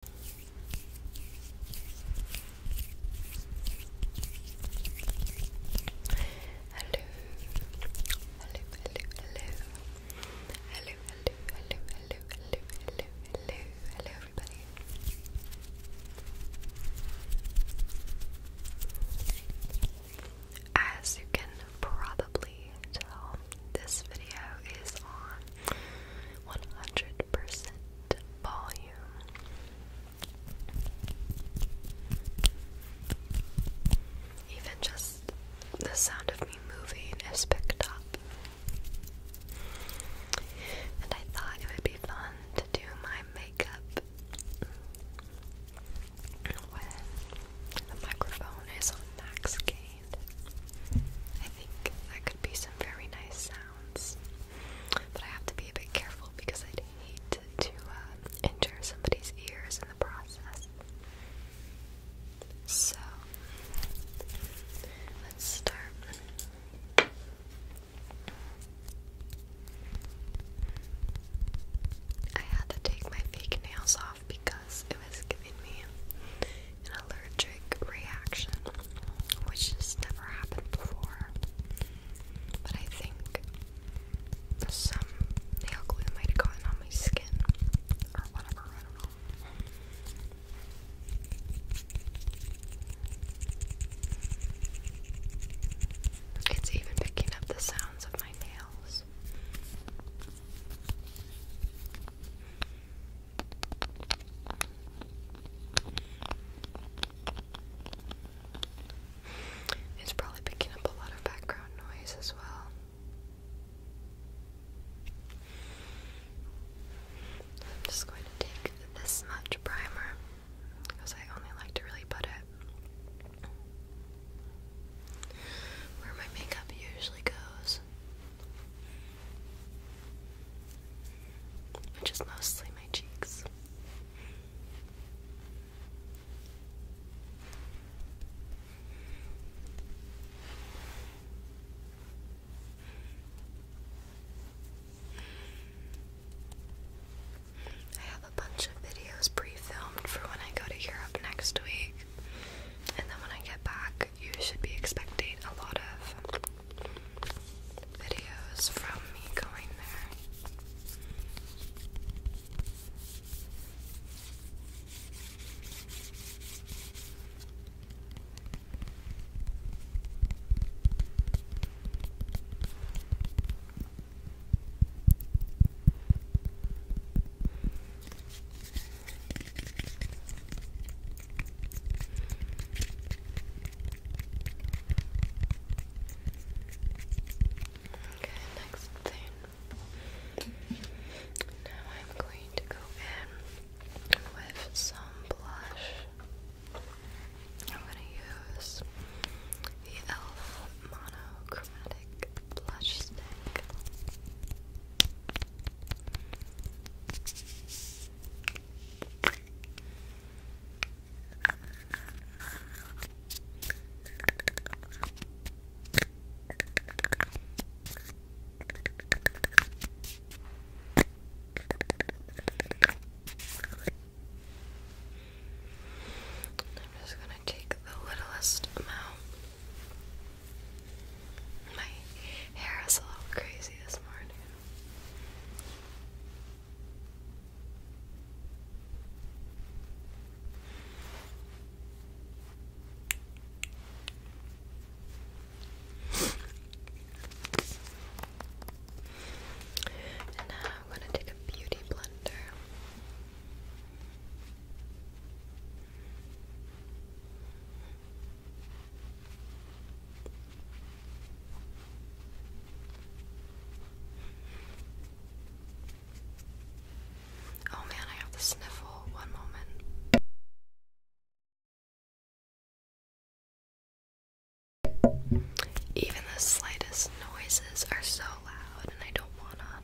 hello, hello, hello, hello, hello, hello, hello, everybody. As you can probably tell, this video is on 100% volume. Even just the sound of me moving is picked up. And I thought it would be fun to do my makeup when the microphone is on max gain. I think that could be some very nice sounds, but I have to be a bit careful because I'd hate to uh, injure somebody's ears in the process. So, let's start. I had to take my fake nails off because it was giving me an allergic reaction, which has never happened before. But I think some nail glue might have gotten on my skin or whatever, I don't know. It's even picking up the sounds of my nails. It's probably picking up a lot of background noise as well. I'm just going to take this much primer because I only like to really put it where my makeup usually goes which is mostly my cheeks. I have a bunch of videos pre filmed for when I go to Europe next week, and then when I get back, you should be expecting a lot of videos from me going there. Okay, next thing. Now I'm going to go in with some blush. I'm going to use the e.l.f. Monochromatic Blush Stick. I'm just going to take the littlest amount. My hair is a little crazy this morning. And now I'm going to take a beauty blender. Oh man, I have the sniffle. One moment. Even the slightest noises are so loud, and I don't want to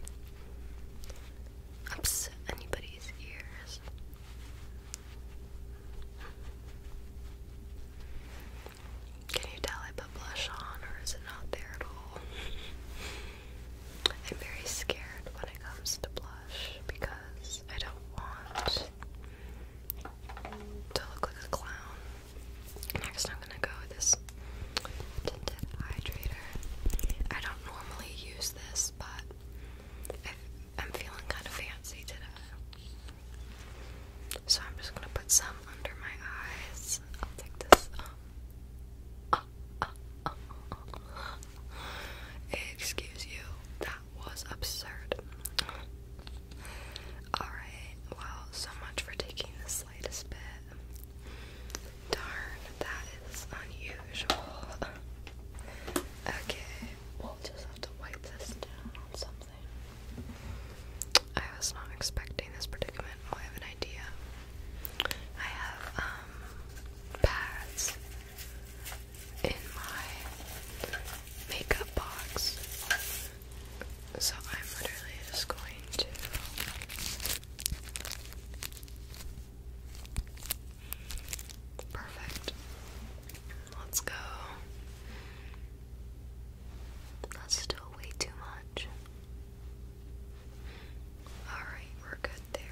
upset anybody's ears. Can you tell I put blush on or is it not there at all? I'm very scared when it comes to blush because I don't want to look like a clown. Next, I'm gonna go this tinted hydrator. I don't normally use this, but I'm feeling kind of fancy today. So I'm just gonna put some under my eyes. I'll take this. Excuse you. That was absurd. Alright, well, so much for taking the slightest bit. Darn, that is unusual. Okay, We'll just have to wipe this down on something. I was not expecting this predicament. Oh, I have an idea. I have um pads in my makeup box. So I'm literally just going to Perfect. Let's go. That's still way too much. Alright, we're good there.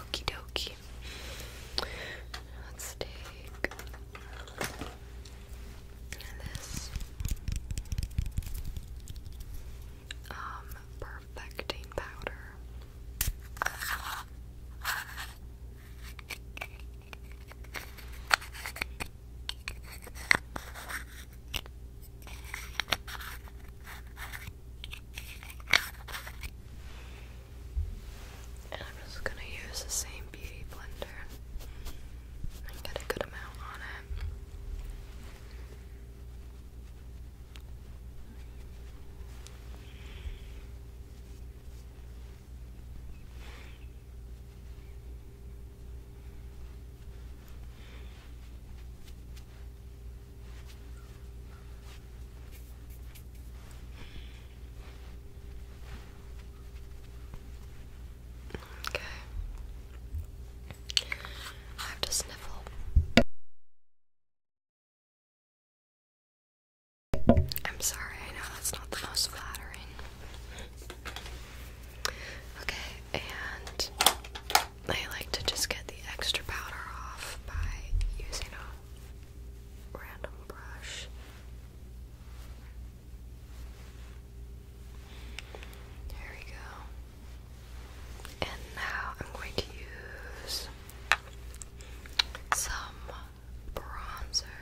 Okie dokie. Let's take and this perfecting powder. And I'm just going to use the same beauty blender. I got a good amount on it. Okay. I have to sniffle. I'm sorry, I know that's not the most flattering. Okay, and I like to just get the extra powder off by using a random brush. There we go. And now I'm going to use some bronzer.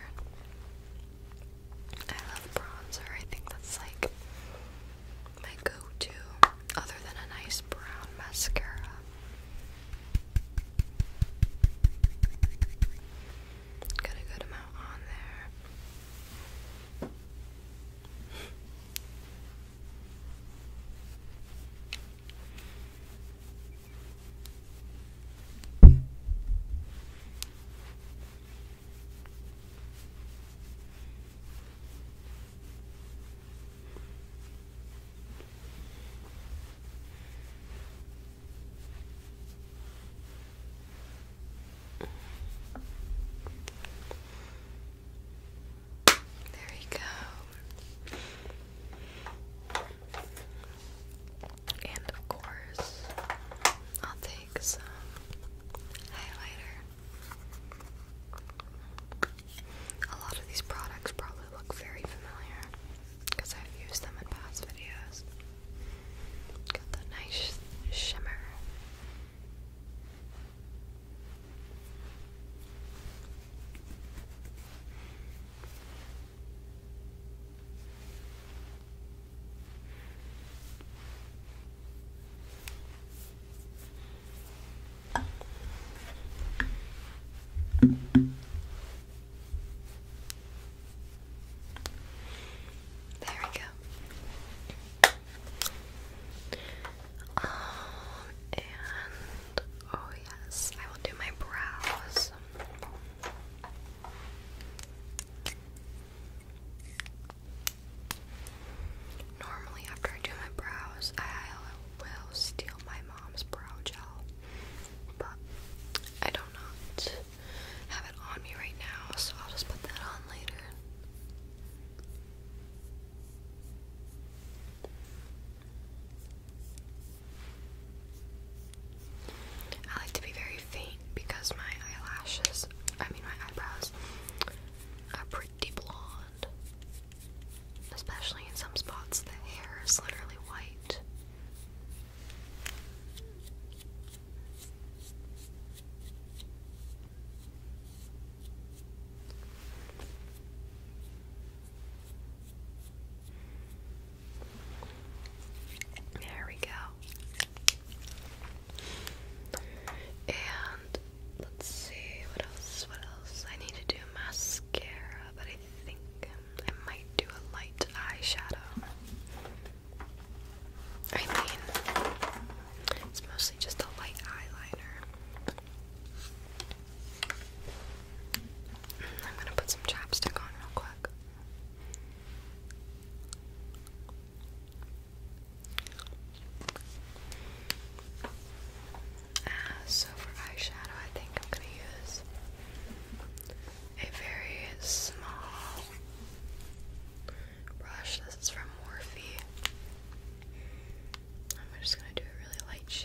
I love bronzer. I think that's like my go-to other than a nice brown mascara. Got a good amount on there. There we go. And of course, I'll take some highlighter. A lot of these products probably look very familiar because I've used them in past videos. Got that nice shimmer. There we go. Um, and oh yes, I will do my brows. Normally, after I do my brows, I will steal my mom's brow gel, but I do not have it on me right now, so I'll just put that on later. I like to be very faint because my eyelashes, I mean my eyebrows, are pretty blonde. Especially in some spots, the hair is literally white. There we go. And let's see what else. What else? I need to do mascara, but I think I might do a light eyeshadow. I mean, it's mostly just a light eyeliner. I'm gonna put some chapstick on real quick. Uh, so for eyeshadow, I think I'm gonna use a very small brush. This is from Morphe. I'm just going to do a really light shade.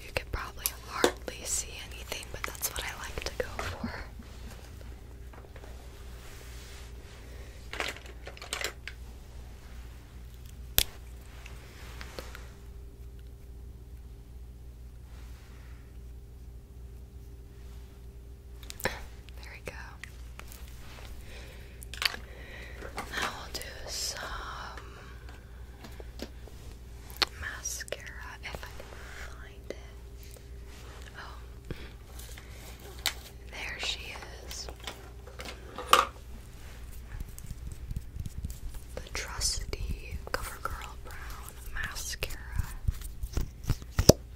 You can probably hardly see anything, but that's what I like to go for there we go. Now we'll do some mascara if I find it. Oh, there she is. The trusty CoverGirl Brown Mascara.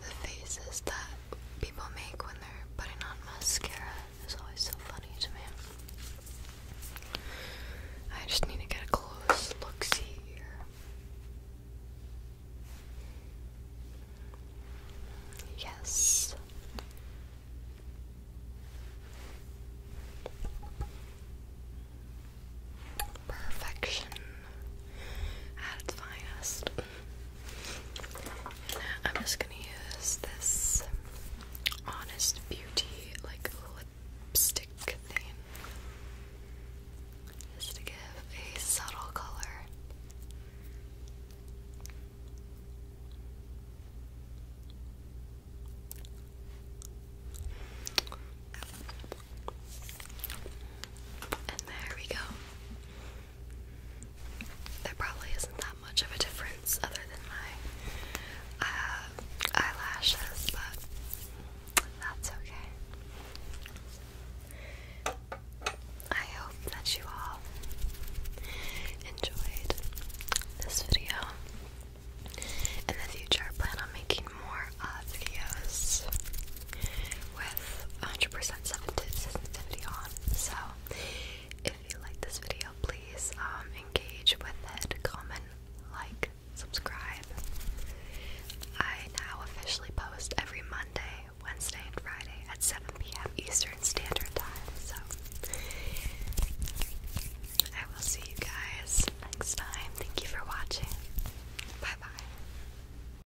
The faces that people make when they're putting on mascara is always so funny to me. I just need to get a close look see here. Yes. Perfection at its finest. I'm just gonna use this Honest Beauty like lipstick thing just to give a subtle color. And there we go. There probably isn't that much of a difference other than my uh, eyelashes, but that's okay. I hope that you all enjoyed this video. In the future, I plan on making more uh, videos with 100% 70 on. So, if you like this video, please um, engage with it, comment, like, subscribe. I now officially post every Monday, Wednesday, and Friday at 7 p.m. Eastern Standard Time. So, I will see you guys next time. Thank you for watching. Bye bye.